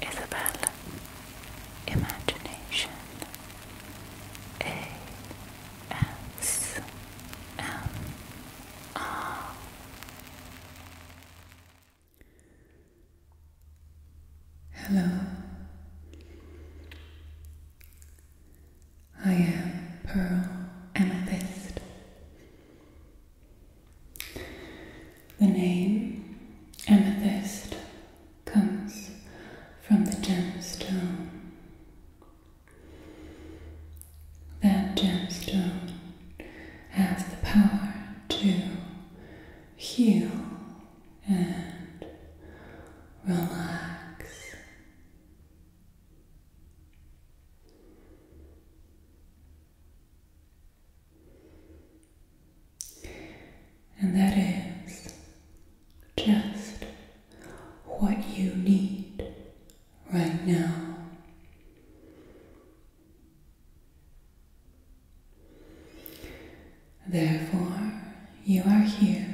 Isabel Imagination A S M R Hello I am Pearl Amethyst the name amethyst comes from the gemstone. That gemstone has the power to heal and relax. And that is just what you need right now. Therefore, you are here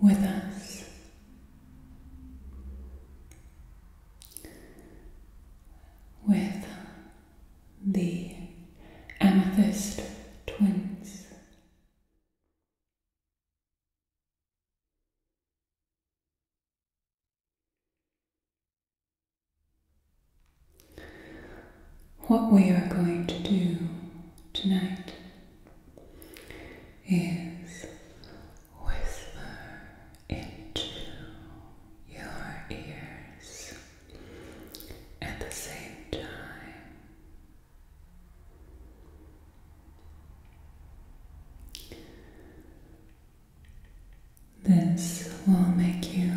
with us. With the amethyst twins. What we are going to do tonight is whisper into your ears at the same time. This will make you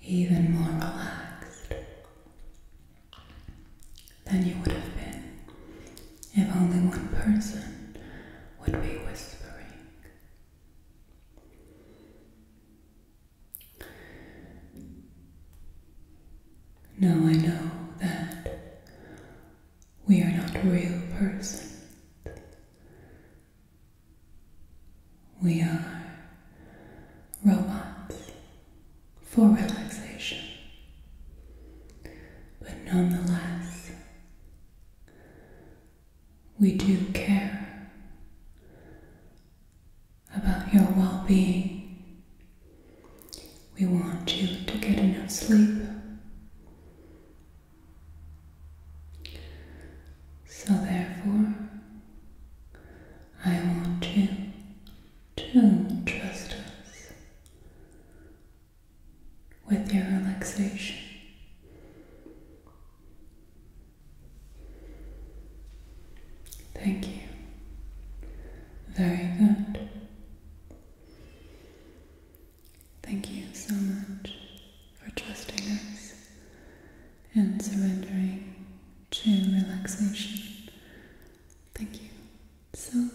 even more relaxed than you would have been if only one person would be whispering. Now I know that we are not real persons. We are robots for relaxation. But nonetheless, we do care about your well being. We want you to get enough sleep. So, therefore, I want you to trust us with your relaxation. Thank you. Very good. Thank you so much for trusting us and surrendering to relaxation Thank you so, so much.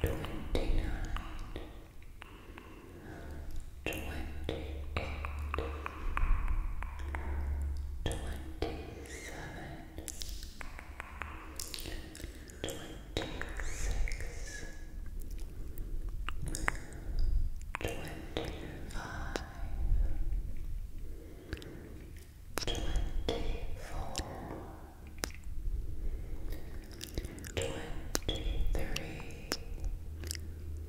Thirty twenty nine twenty-eight, twenty-seven, twenty-six, twenty-five, twenty-four, twenty-three, Twenty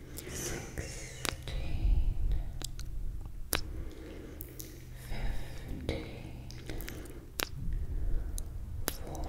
sixteen, fifteen, fourteen, thirteen, twelve, eleven. 10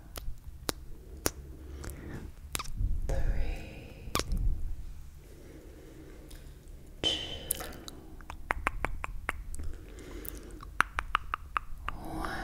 three, two, one. Relax.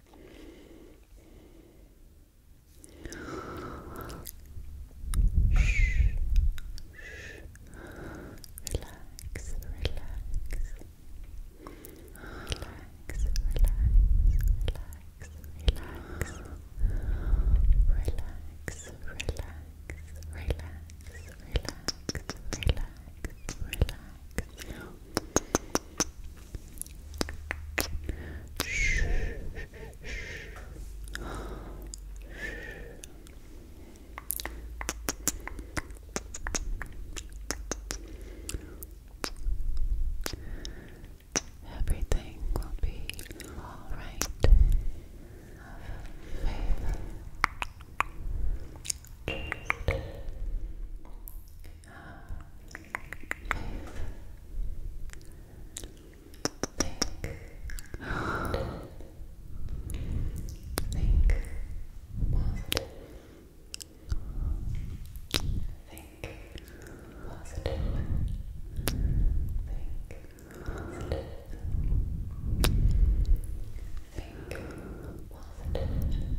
Shh. Relax, relax. Relax, relax, relax, relax, relax, relax, relax, relax, relax. Everything will be all right. Have Think positive. Think positive. Think positive. Think positive. Think positive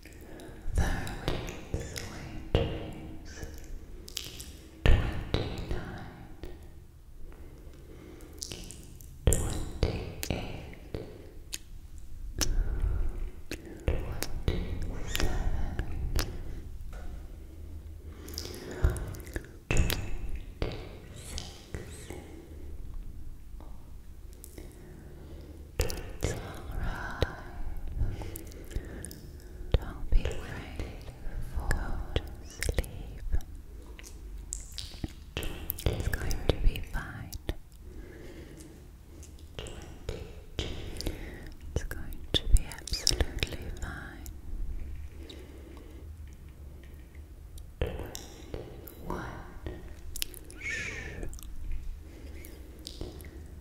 Thirty sweet dreams, twenty-nine, twenty-eight, twenty-seven, twenty-six. 25 27 26 it's alright. Don't be afraid. Go sleep. It's going to be fine. It's going to be absolutely fine. One. Shh.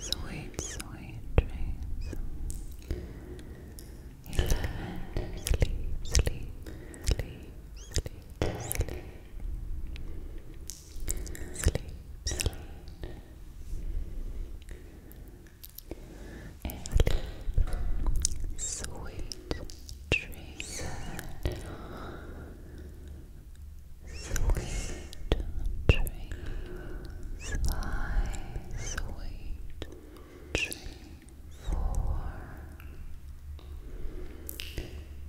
Sweet, sweet dreams. Sleep, sleep, sleep, sleep, sleep, sleep. Sleep, sleep. Sleep, sweet dreams sweet dreams, my sweet dreams. Four,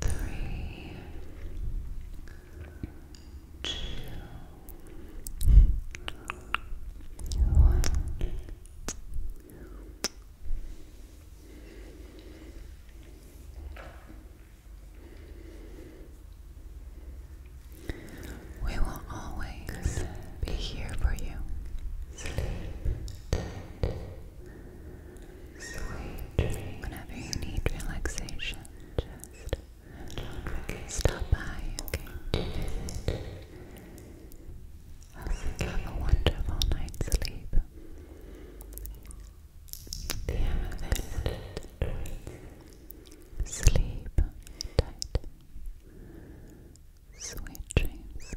three, two, one. We will always be here for you. Sleep Sweet Whenever you need relaxation, just stop by, okay? Visit. Have a wonderful night's sleep. The other Sleep tight. Sweet dreams.